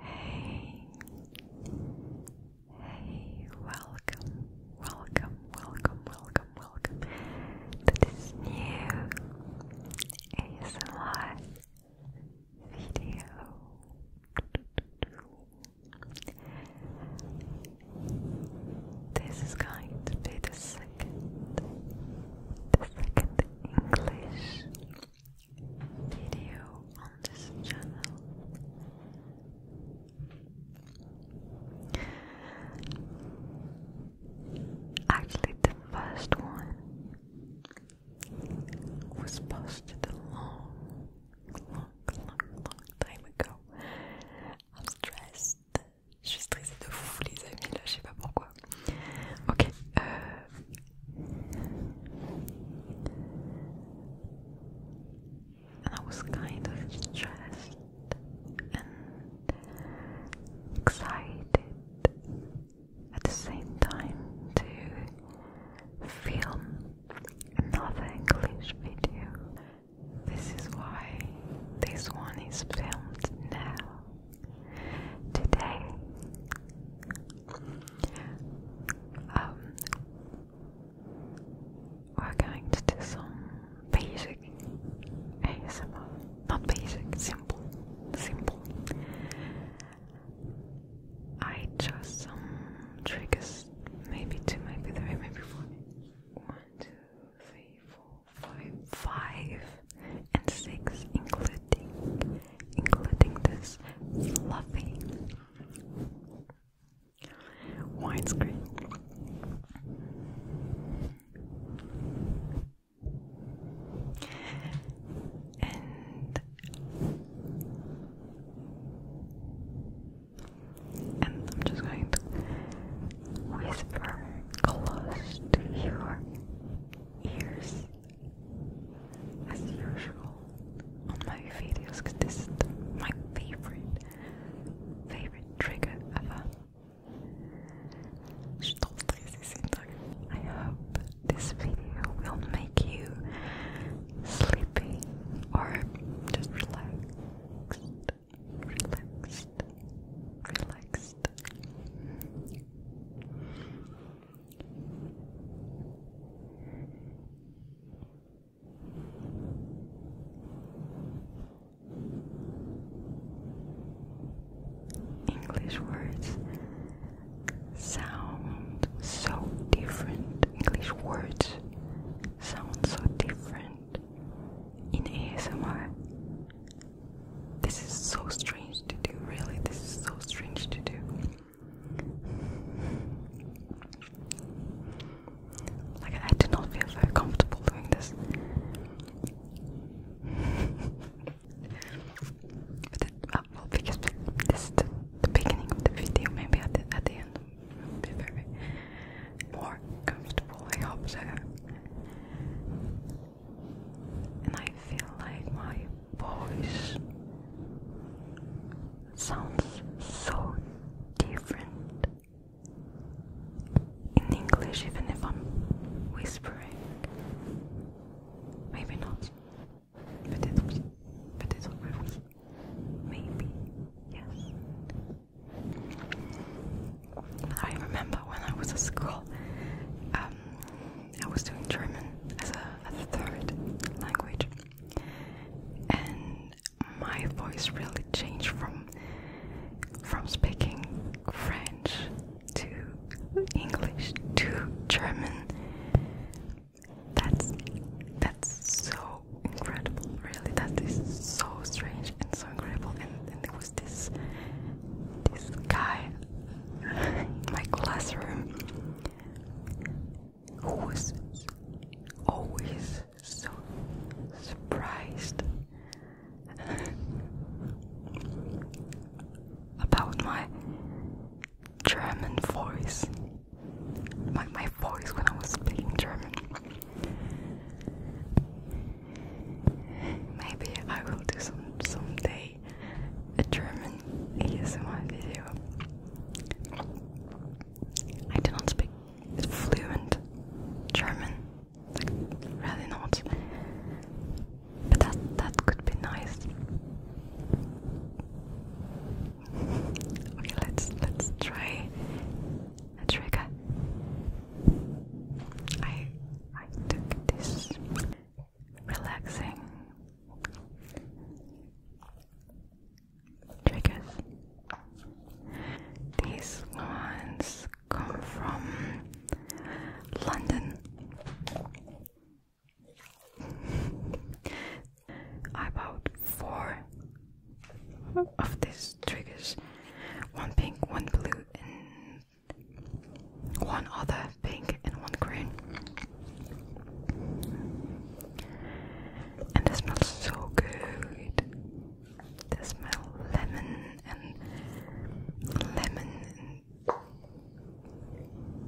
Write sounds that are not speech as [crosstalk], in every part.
Hey, hey, welcome, welcome, welcome, welcome, welcome to this new ASMR video. This is going to be the second, the second English video on this channel. Actually, the first one was posted a long, long, long, time ago. I'm stressed. Je suis stressée de fou, les amis. Là, je sais pas pourquoi. Ok. I euh. was kind of stressed and excited at the same time to film another English video. This is why this one is filmed now today. Um, we're going to do some basic ASMR. Not basic, simple. Simple. I chose some triggers. Maybe two, maybe three, maybe four. One, two, and six, including including this fluffy widescreen. And I'm just going to whisper close to your ears as usual on my videos because this is my favorite, favorite trigger ever. I hope this video will make you sleepy or just relaxed, relaxed, relaxed. English words sound so different. English words sound so different in ASMR this is so strange to do, really. This is so strange to do. Like, I do not feel very comfortable doing this. but uh, well, because this is the, beginning of the video, maybe at the, at the end be very more comfortable, I hope so and I feel like my voice sounds so different in English, even if I'm whispering. Maybe not. Peut-être Peut-être oui. Maybe. Yes. I remember when I was at school, um, I was doing German as a, third language, and my voice really changed from from speaking French to English to German. That's that's so incredible, really. That is so strange and so incredible. And, and it was this this guy my classroom was always so surprised about my German voice, my, my voice when I was speaking German. Maybe I will do some someday a, a German ASMR video. I do not speak fluent German, really not. But that that could be nice. okay, let's let's try a trigger. I I took this relaxing triggers. These ones come from London. I [laughs] bought four of these triggers one pink, one blue, and one other pink and one green. And it smells so good. They smell lemon and lemon.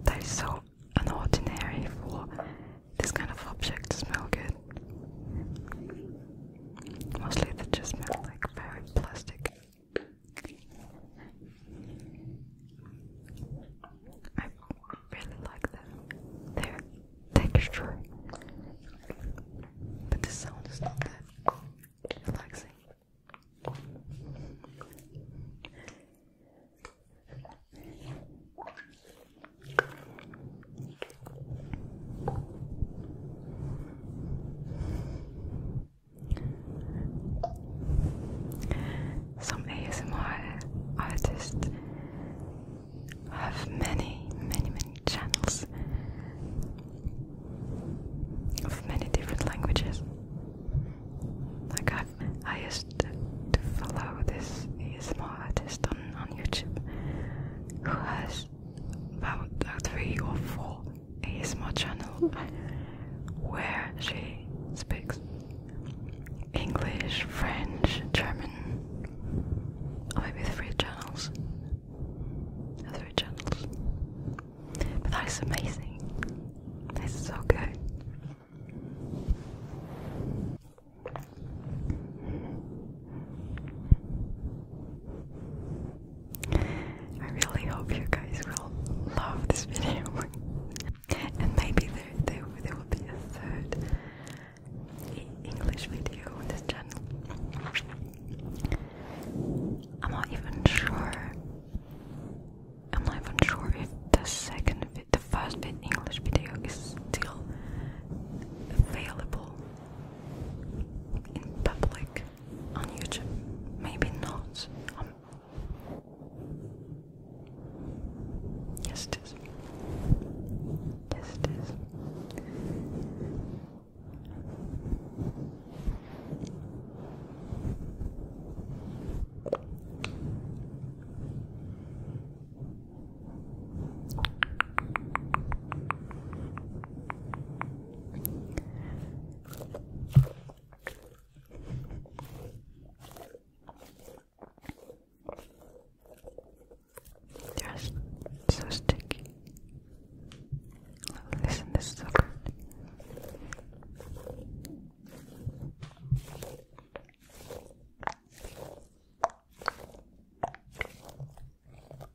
that is so unordinary for this kind of object to smell good. Mostly they just smell like very plastic. I really like them. texture. But the sound is not that relaxing. Some ASMR artists have many, many, many channels of many different languages. I've, I used to, follow this ASMR artist on, YouTube who has about three or four ASMR channel where she speaks English, French, German, or maybe three channels. Three channels. But that is amazing. That's so good. I really hope you guys will love this video. [laughs] and maybe there, there, there will be a third English video on this channel. I'm not even sure. I'm not even sure if the second, the first English video is still available in public on YouTube. Maybe not. Um, yes, it is. Yes, it is. Just so sticky. Listen, this is so good.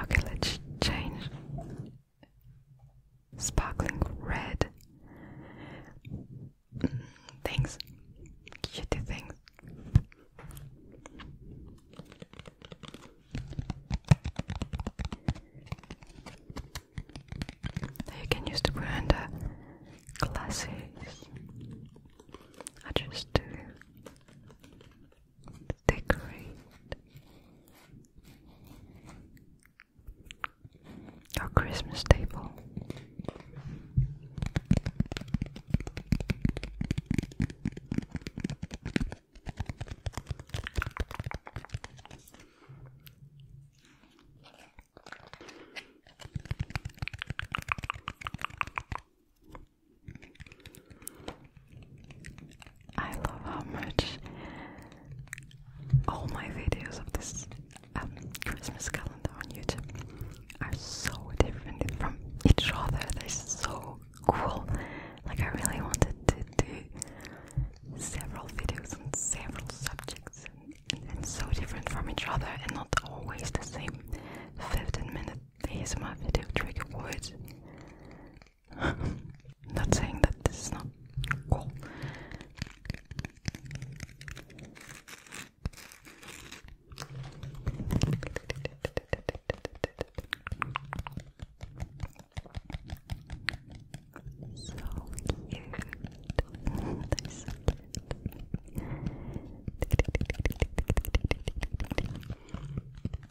Okay, let's change sparkling red mm, things, kitty things. you can use to put under glasses. I just do decorate your Christmas table. I love how much all my videos of this um, Christmas calendar on YouTube are so different from each other. They're so cool. Like I really wanted to do several videos on several subjects and, so different from each other and not always the same 15 minutes. ASMR video trigger words. [laughs] not saying that this is not cool. [laughs]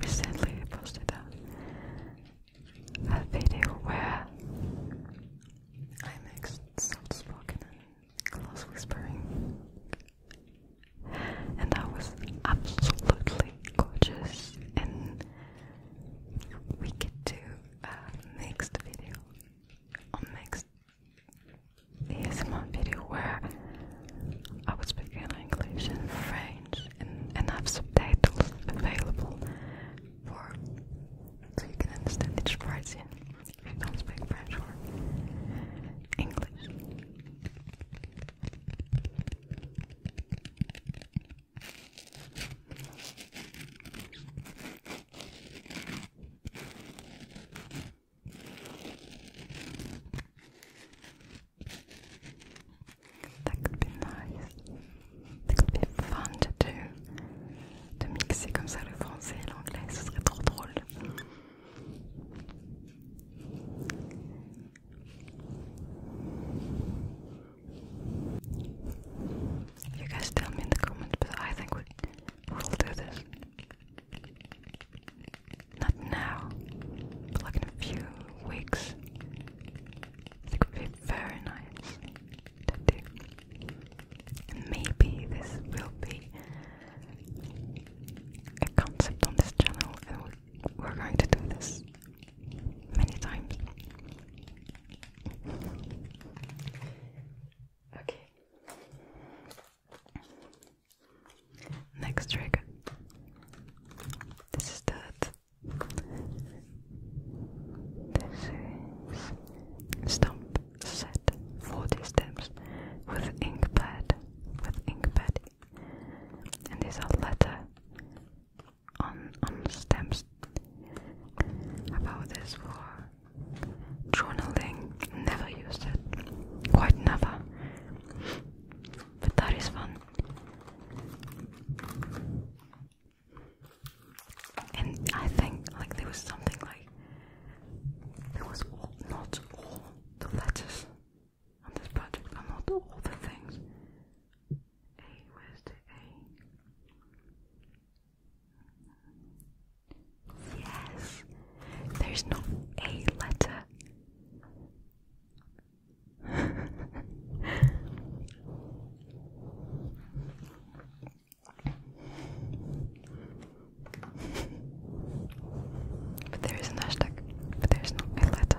Recently, I posted a, a video where I mixed soft spoken and close whispering, and that was absolutely gorgeous in we could do a next video or next ASMR video where I would speak in English and French and, and have subtitles available for so you can understand each person if you don't speak French or English. That could be nice. fun to De mixer comme ça le français et l'anglais, ce serait trop drôle. You guys tell me in the comments, but I think we will do this. Not now, but like in a few weeks. It could be very nice maybe this will be a concept on this channel, and we're going to do this many times. okay. Next trick. This is that. This is stomp set 40 with ink pad. With ink pad. And these are letter on on stamps about this for journaling. Never used it, quite never. But that is fun. And I think like there was something like there was not all the letters on this project. I'm not all the things. A, where's the A? Yes, there's no A letter. [laughs] but there is an hashtag, but there is no a letter.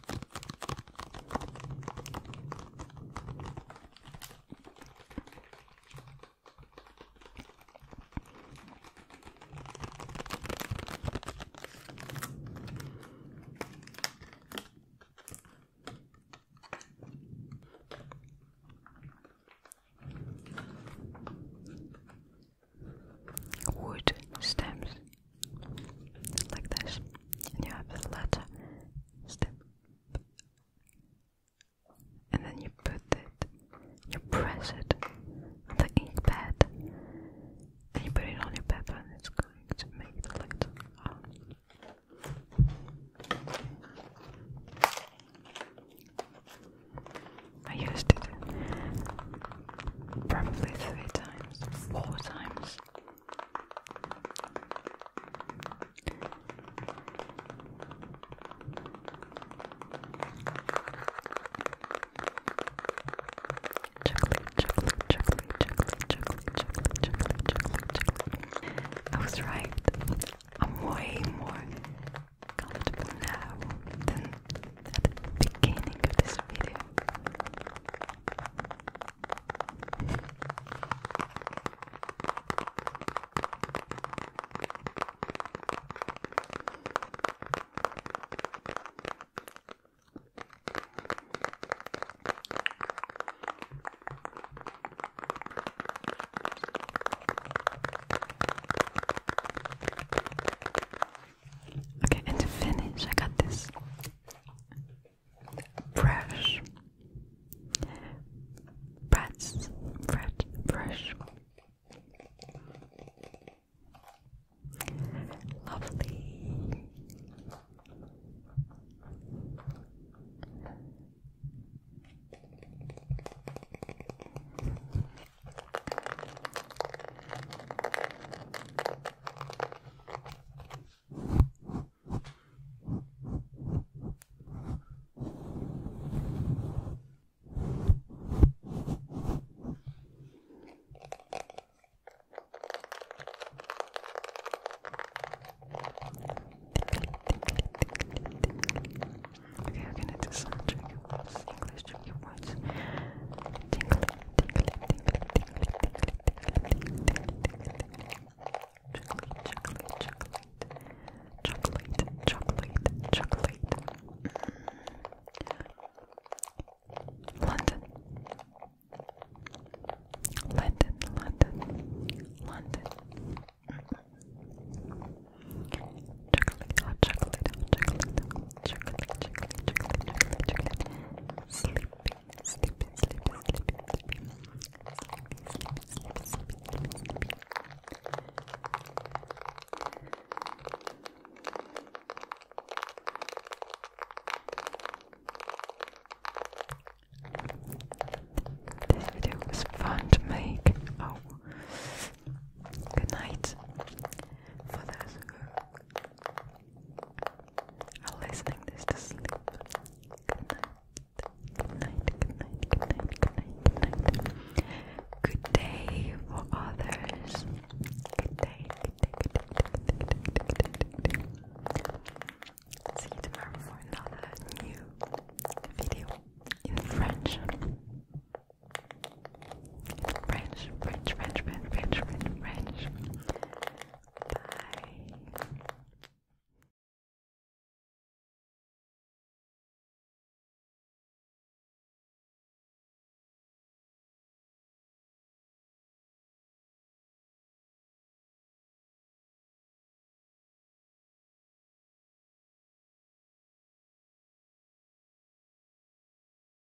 Wood stems like this, and you have the letter and then you put it, you press it on the ink pad, and you put it on your paper, and it's going to make the letter. I used it probably three times, four times. I was right. I'm way more comfortable now than at the beginning of this video. Okay, and to finish, I got this fresh, fresh, fresh, fresh, lovely. If you're gonna do some trick, English trick, you watch. Tinkle, tinkle, tinkle, tinkle, chocolate, chocolate, chocolate, chocolate. London, London, London, London. Chocolate, hot chocolate, chocolate. This video was fun to make. Oh, good night for those who I'll listening this to sleep. Good night. Good night, good night, good night, good night, good night. Good day for others. good day. See you tomorrow for another new video in French. French, French, French, French, French, French, Bye.